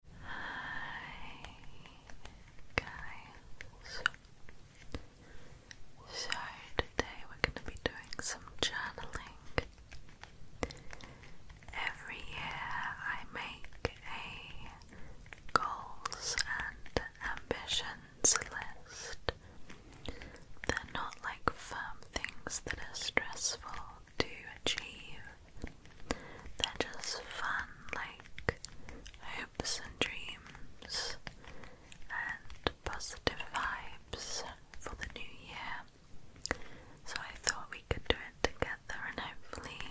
Hi guys. So today we're going to be doing some journaling. Every year I make a goals and ambitions list. They're not like firm things that are stressful to achieve. They're just fun, like hopes and dreams and positive vibes for the new year. So I thought we could do it together and hopefully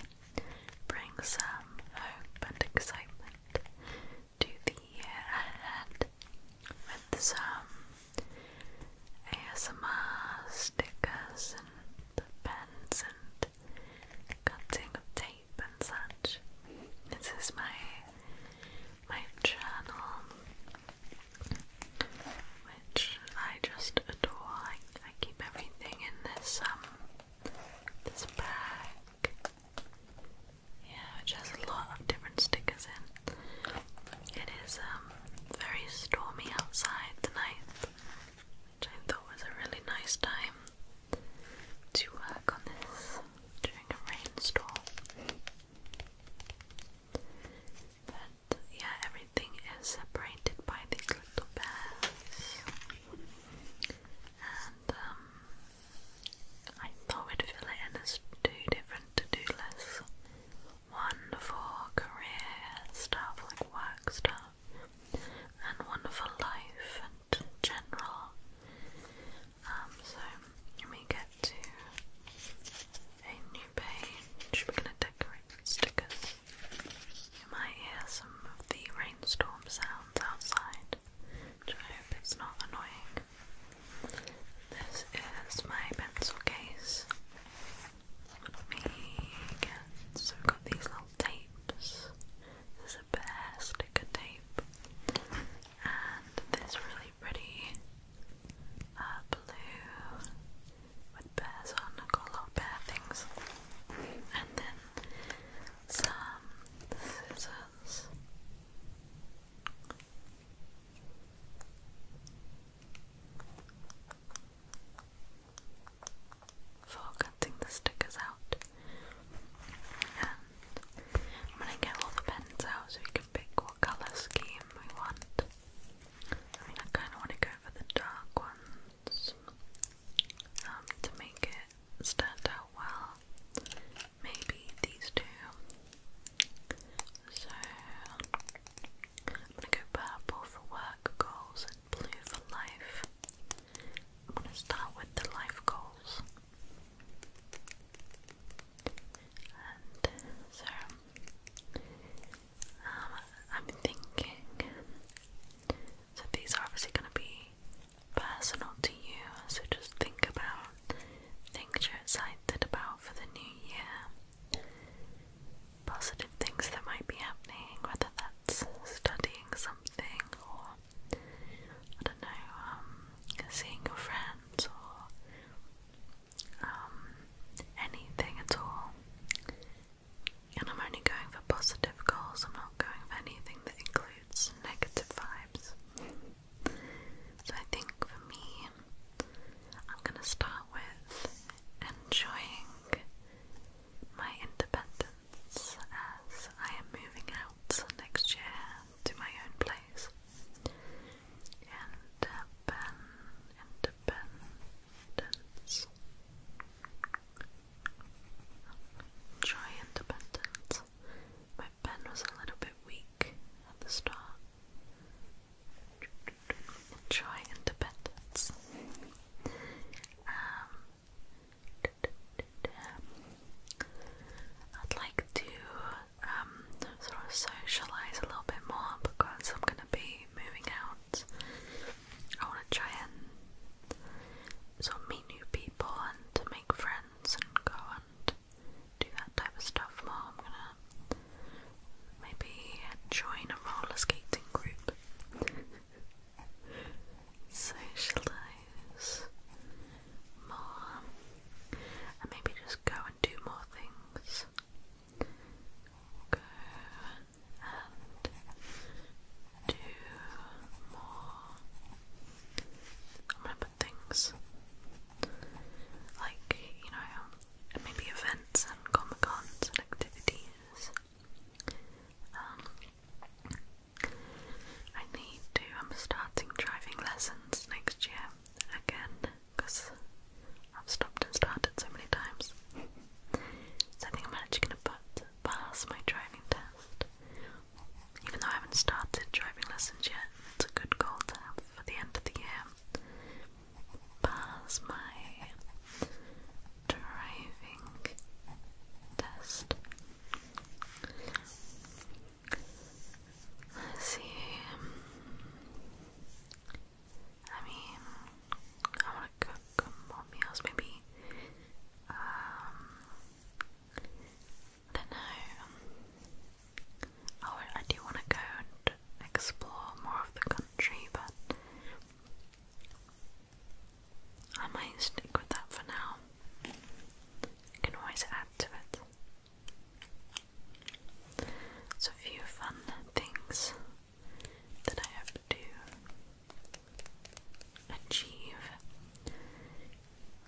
bring some hope and excitement to the year ahead with some ASMR stickers and pens and cutting of tape and such. This is my my journal, which I just adore. I, I keep everything in this um this bag. Yeah, which has a lot of different stickers in. It is um very stormy outside tonight which I thought was a really nice time to work on this during a rainstorm. But yeah, everything is separated by these little bears. And um, I thought we'd fill it in as two different to-do lists. One for career stuff, like work stuff, have and wonderful life and general. Um, so when we get to a new page, we're gonna decorate stickers. You might hear some of the rainstorm sounds outside, which I hope it's not annoying. This is my pencil case me again. So we've got these little tapes. There's a bear sticker tape, and this really pretty uh, blue with bears on. i got a lot of bear things, and then some scissors for the stickers out. I'm gonna get all the pens out so we can pick what colour scheme we want. I mean, I kind of want to go for the dark ones um, to make it stand out well. Maybe these two. So, I'm gonna go purple for work goals Blue for Life. I'm going to start with the life goals. And so, um, I'm thinking, so these are obviously going to be personal to you, so just think about things you're excited about for the new year positive things that might be happening, whether that's studying something or I don't know, um, seeing your friends or um, anything at all. And I'm only going for positive goals, I'm not going for anything that includes negative vibes. So I think for me, I'm going to start with enjoying my independence as I am moving out next year to my own place. Uh, independence. Enjoy independence. My pen was a little bit weak at the start. Enjoy independence. Um, I'd like to um, sort of socialize a little bit more because I'm gonna be moving out. I want to try and sort of meet new people and to make friends and go and do that type of stuff more. I'm gonna maybe join a roller skating group socialize more and maybe just go and do more things. Go and do more. i things like, you know, maybe events and comic cons and activities um, I need to, I'm starting driving lessons next year again because I've stopped and started so many times. so I think I'm actually going to pass my driving test. Even though I haven't started driving lessons yet, it's a good goal to have for the end of the year. Pass my driving test. see. I mean, I want to cook more meals, maybe. Um, I don't know. Oh, I do want to go and explore more of the country, but I might stick with that for now. can always add to it. So, a few fun things that I hope to achieve.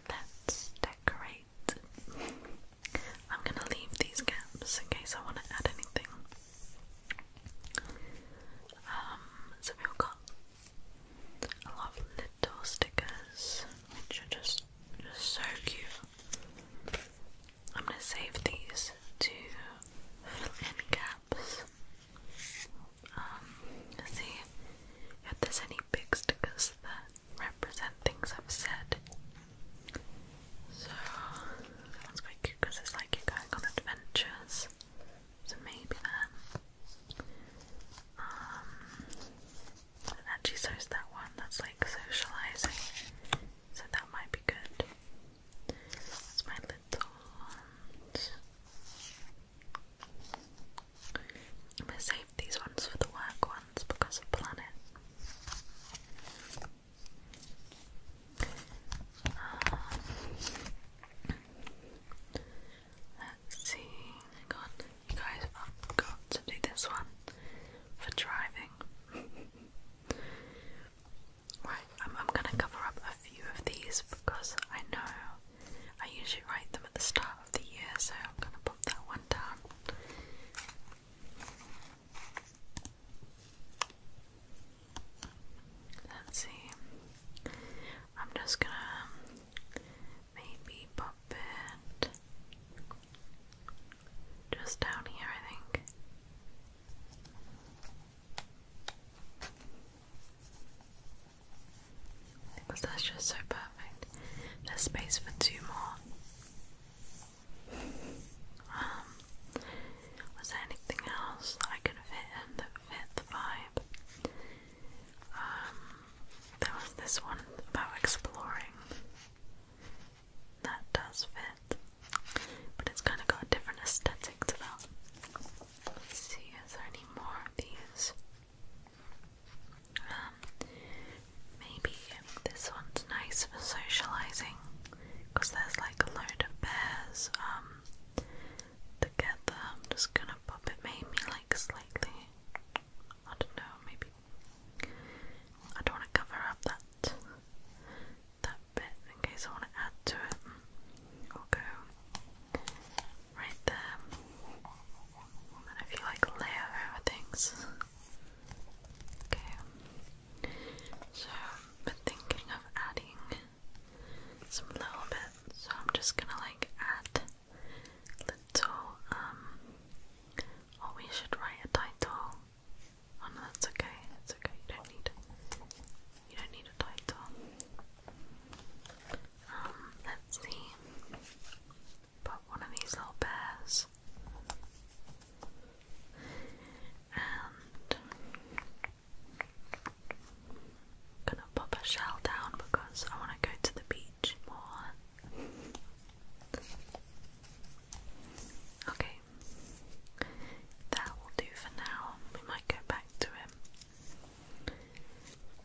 Let's decorate. I'm gonna leave these gaps in case I want to add anything. Um, so we've got a lot of little stickers, which are just, so cute. I'm gonna save these to fill in gaps. Um, see if there's any big stickers that represent things I've said. So that one's quite cute because it's like you're going on adventures. So maybe then. Um, actually so is that one that's like socializing. So that might be good. That's my little ones. I'm gonna save these ones for the work ones because of planet let's see. Hang on. You guys, I've got to do this one for driving. right, I'm, going to cover up a few of these because I know I usually write them at the start of the year, so I'm going to put that one down. Let's see. I'm just gonna maybe pop it just down here, I think. Because that's just so perfect. There's space for two more. Um, was there anything else that I could fit in that fit vibe? Um, there was this one about exploring. That does fit, but it's kind of got a different aesthetic to that. Let's see, is there any more of these? Um, maybe this one's nice for socializing because there's like a load of bears um, together. I'm just gonna pop it maybe like slightly. I don't know, maybe I don't wanna cover up that that bit in case I wanna add to it. i right there. And if you like layer things. Okay. So we thinking of adding some little bits, so I'm just gonna like add little, um, oh, we should write a title. Oh no, that's okay, that's okay, you don't need, you don't need a title. Um, let's see, put one of these little bears. And Gonna pop a shell down because I want to go to the beach more. Okay, that will do for now. We might go back to him.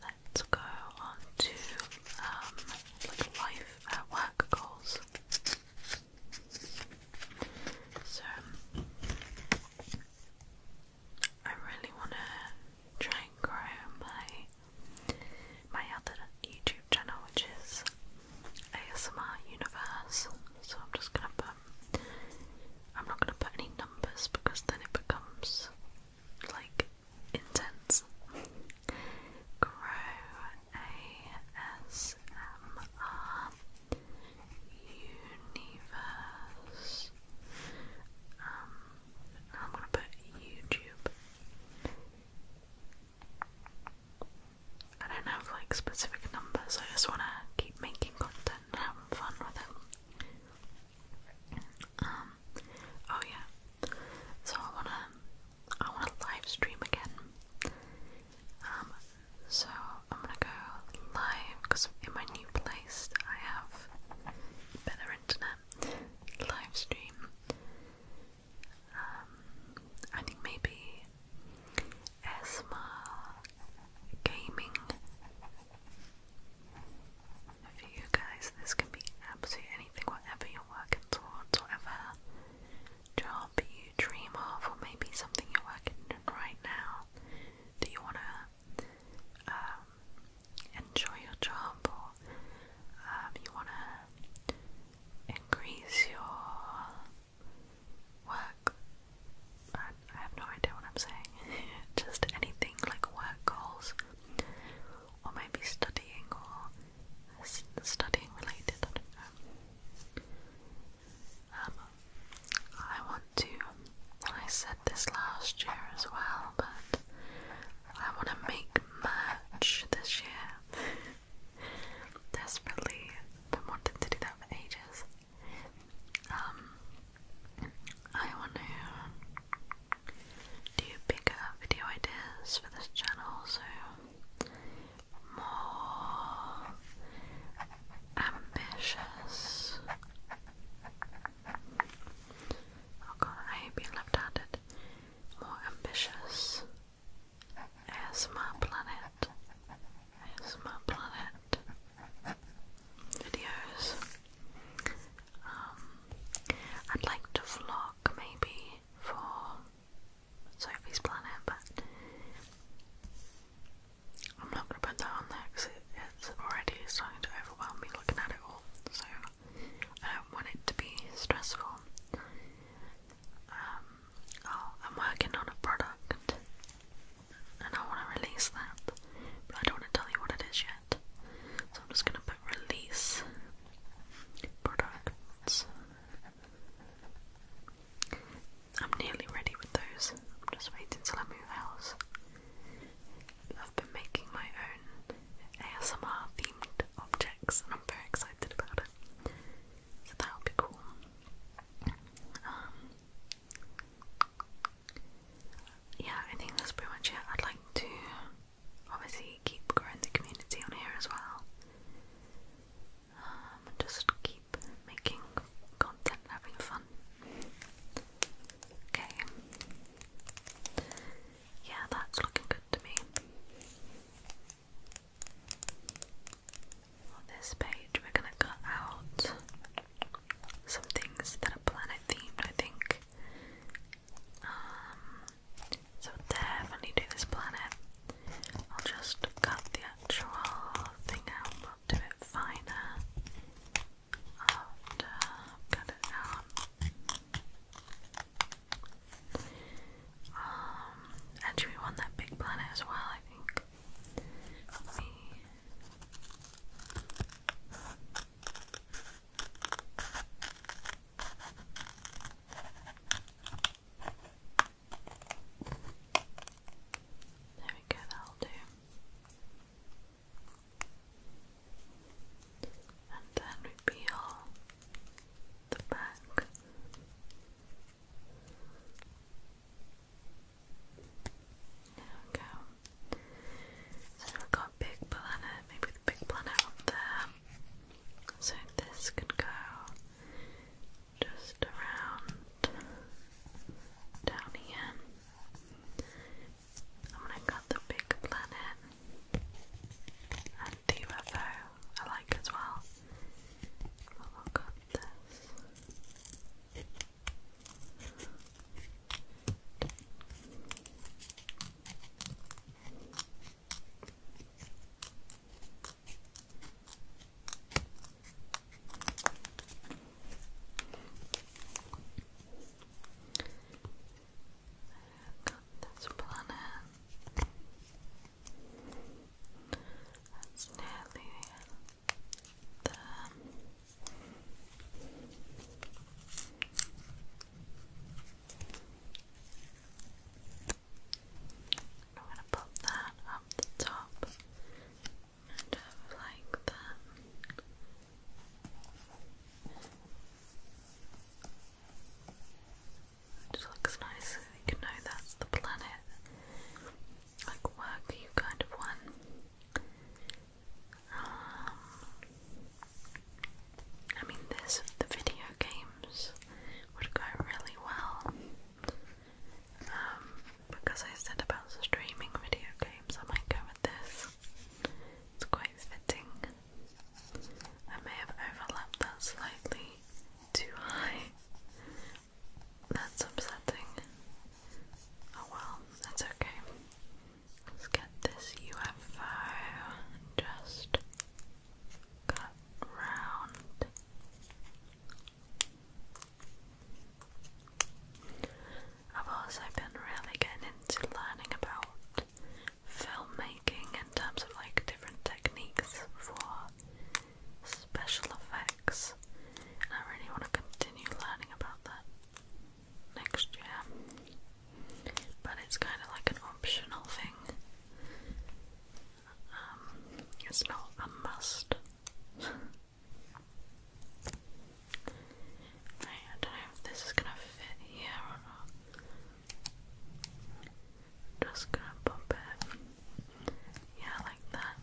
Let's go on to um, life at work goals. So, I really want to try and grow my my other YouTube channel, which is ASMR Universe. So I'm just gonna put I'm not gonna put any numbers because then it becomes like intense. Grow ASMR universe. Um, I'm gonna put YouTube. I don't have like specific numbers. I just wanna keep making content and having fun with it. Um, oh yeah. So I wanna, I wanna live stream again. Um, so I'm gonna go live because in my new place I have better internet live stream. Um, I think maybe ASMR gaming. For you guys, this can be absolutely anything, whatever you're working towards, whatever job you dream of, or maybe something you're working on right now. Do you want to um, enjoy your job, or um, you want to increase your work? I, have no idea what I'm saying. Just anything like work goals, or maybe studying, or studying related. Um, um, I want to, I said this last year as well, but I want to make merch this year. Desperately been wanting to do that for ages. Um, I want to do bigger video ideas for this channel, so more ambitious. Oh god, I hate being left-handed. More ambitious. ASMR Planet. ASMR Planet. Videos. Um, I'd like to vlog maybe for Sophie's Planet, but I'm not going to put that on there because it's already starting to overwhelm me looking at it all, so I don't want it to be stressful. Um, oh, I'm working on a product and I want to release that, but I don't want to tell you what it is yet, so I'm just going to put release products. I'm nearly ready with those. I'm just waiting till I move house. I've been making my own ASMR themed objects and I'm very excited about it. So that'll be cool. Um, yeah, I think that's pretty much it. I'd like to obviously keep growing the community on here as well. Um, um, just keep making content, having fun. Okay. Yeah, that's looking good to me. On this page, we're gonna cut out some things that are planet themed, I think. Um, so definitely do this planet. I'll just cut the actual thing out, will do it finer after I've got it Um, actually we that big planet as well, I think. There we go, that'll do and then we the back. There we go. So we've got big planet, maybe the big planet up there. So this could go just around down here. I'm the big planet and the I like as well. But we this got this planet. That's nearly there. I'm going to put that up the top and like that. It looks nice you know that's the planet. Like work kind of one. Um, I mean this the video games would go really well. Um, because I said about streaming video games, I might go with this. It's quite fitting. I may have overlapped that slightly too high. That's upsetting. Oh well, that's okay. Let's get this UFO just cut round I've also been really getting into learning about filmmaking in terms of like different techniques for special effects. And I really want to continue learning about that next year. But it's kind of like an optional thing. Um, it's not a must. I don't know if this is gonna fit here or not. Just gonna pop it. Yeah, like that.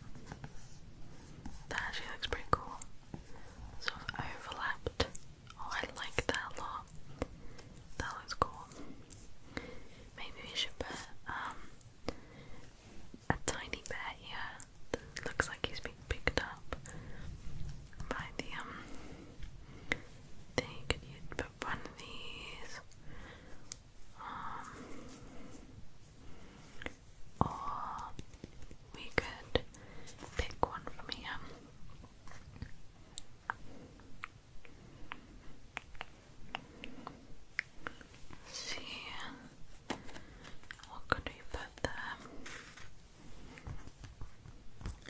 That actually looks pretty cool. Sort of overlapped. Oh, I like that a lot. That looks cool. Maybe we should put um, a tiny bat. Yeah, that looks like he's being picked up by the um they could put one of these um or we could pick one from here see. What could we put there?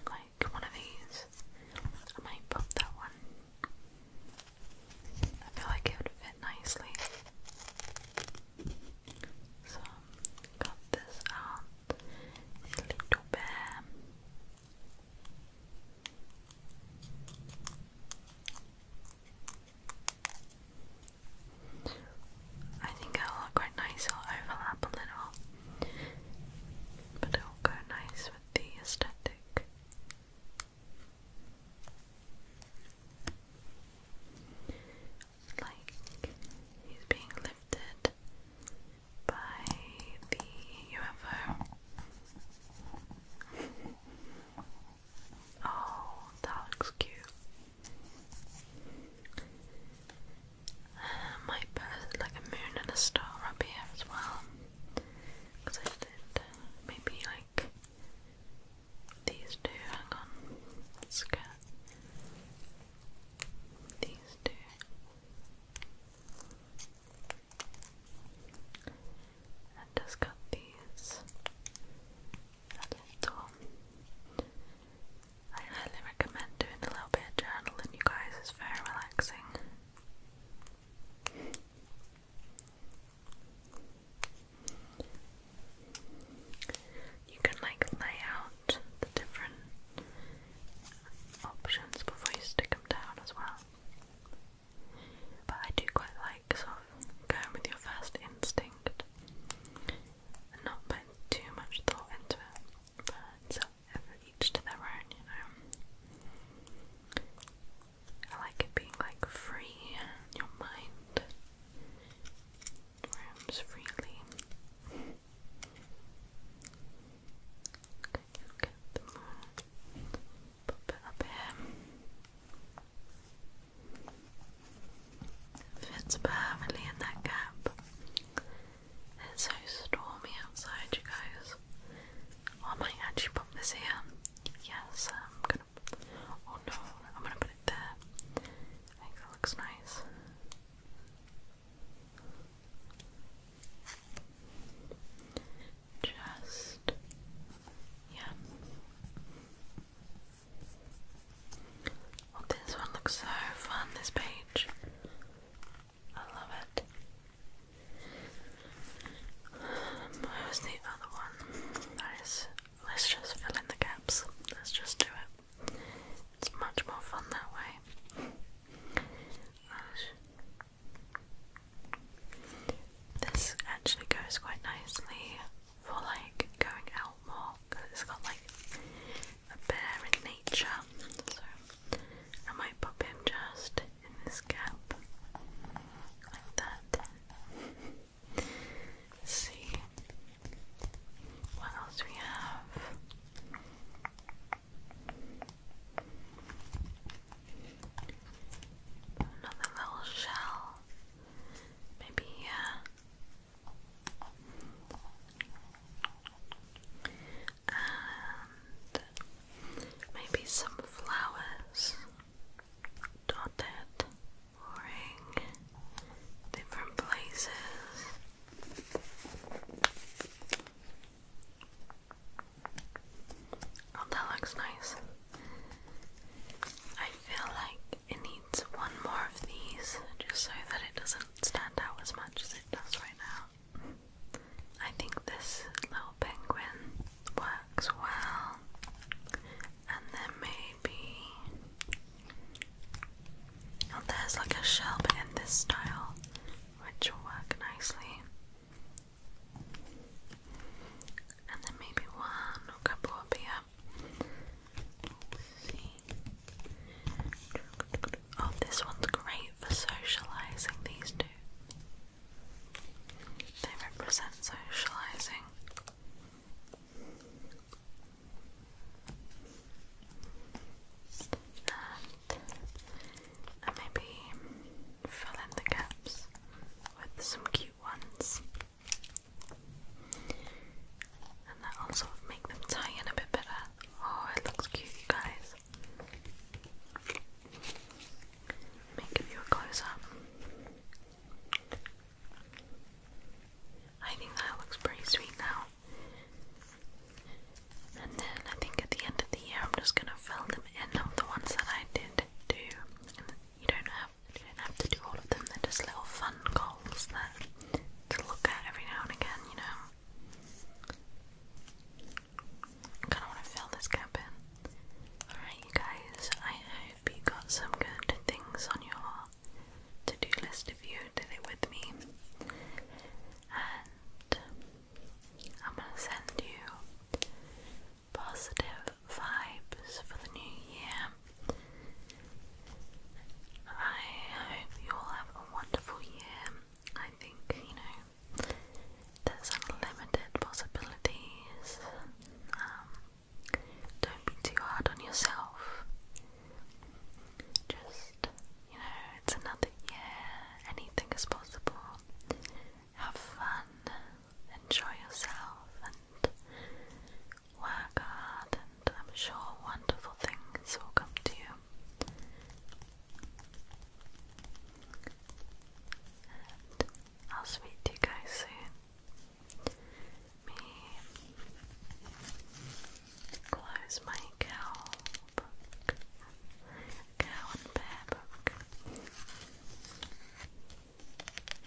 Like one of these. I might pop that one. I feel like it would fit nicely. So, cut this out little bit. I think it'll look quite nice, it'll overlap a little, but it'll go nice with the aesthetic. Like, he's being lifted by the UFO. Oh, that looks cute. Uh, might put like a moon and a star up here as well. Because I did uh, maybe like these two. Hang on, let's get these two. And just got these I highly recommend doing a little bit of journaling, you guys, it's very relaxing. You can like lay out the different options before you stick them down as well. But I do quite like going with your first instinct and not put too much thought into it. But it's each to their own, you know. I like it being like free your mind. Rooms freely. Okay, get the moon. Pop up here. Fits perfectly in that gap. It's so stormy outside, you guys. Oh, I might actually pop this here. Yes, I'm gonna. Oh no, I'm gonna put it there. I think that looks nice. Just yeah. Oh, this one looks so fun, this page. I love it. where's the other one? That is, let's just fill in the gaps. Let's just do it. It's much more fun that way. This actually goes quite nicely for like going out more because it's got like a bear in nature. So I might pop him just in this gap like that. see what else we have. Another little shell Maybe here. Uh, and maybe some flowers dotted or different places. Oh, that looks nice. I feel like it needs one more of these just so that it doesn't stand out as much as it does right now. I think this little penguin works well, and then maybe. Oh, there's like a shell but in this style, which will work nicely. And then maybe one or a couple up here. Oh, this one's great for socializing, these two. They represent socializing. And uh, maybe fill in the gaps with some cute ones. And that will make them tie in a bit better. Oh, it looks cute, you guys. Let me give you a close up. I think that looks pretty sweet now. And then I think at the end of the year, I'm just gonna fill them in of the ones that I did do. you don't you don't have to do all of them, they're just little fun goals there to look at every now and again, you know. I kind of want to fill this gap in. Alright, you guys, I hope you got some good things on your to do list if you did it with me. And I'm going to send you positive vibes for the new year. I hope you all have a wonderful year. I think, you know, there's unlimited possibilities. Um, don't be too hard on yourself. Just, you know, it's another year, anything is possible. Have fun, enjoy yourself, and Work hard, and I'm sure wonderful things will come to you. I'll speak you guys soon. Me close my cow book, and bear book.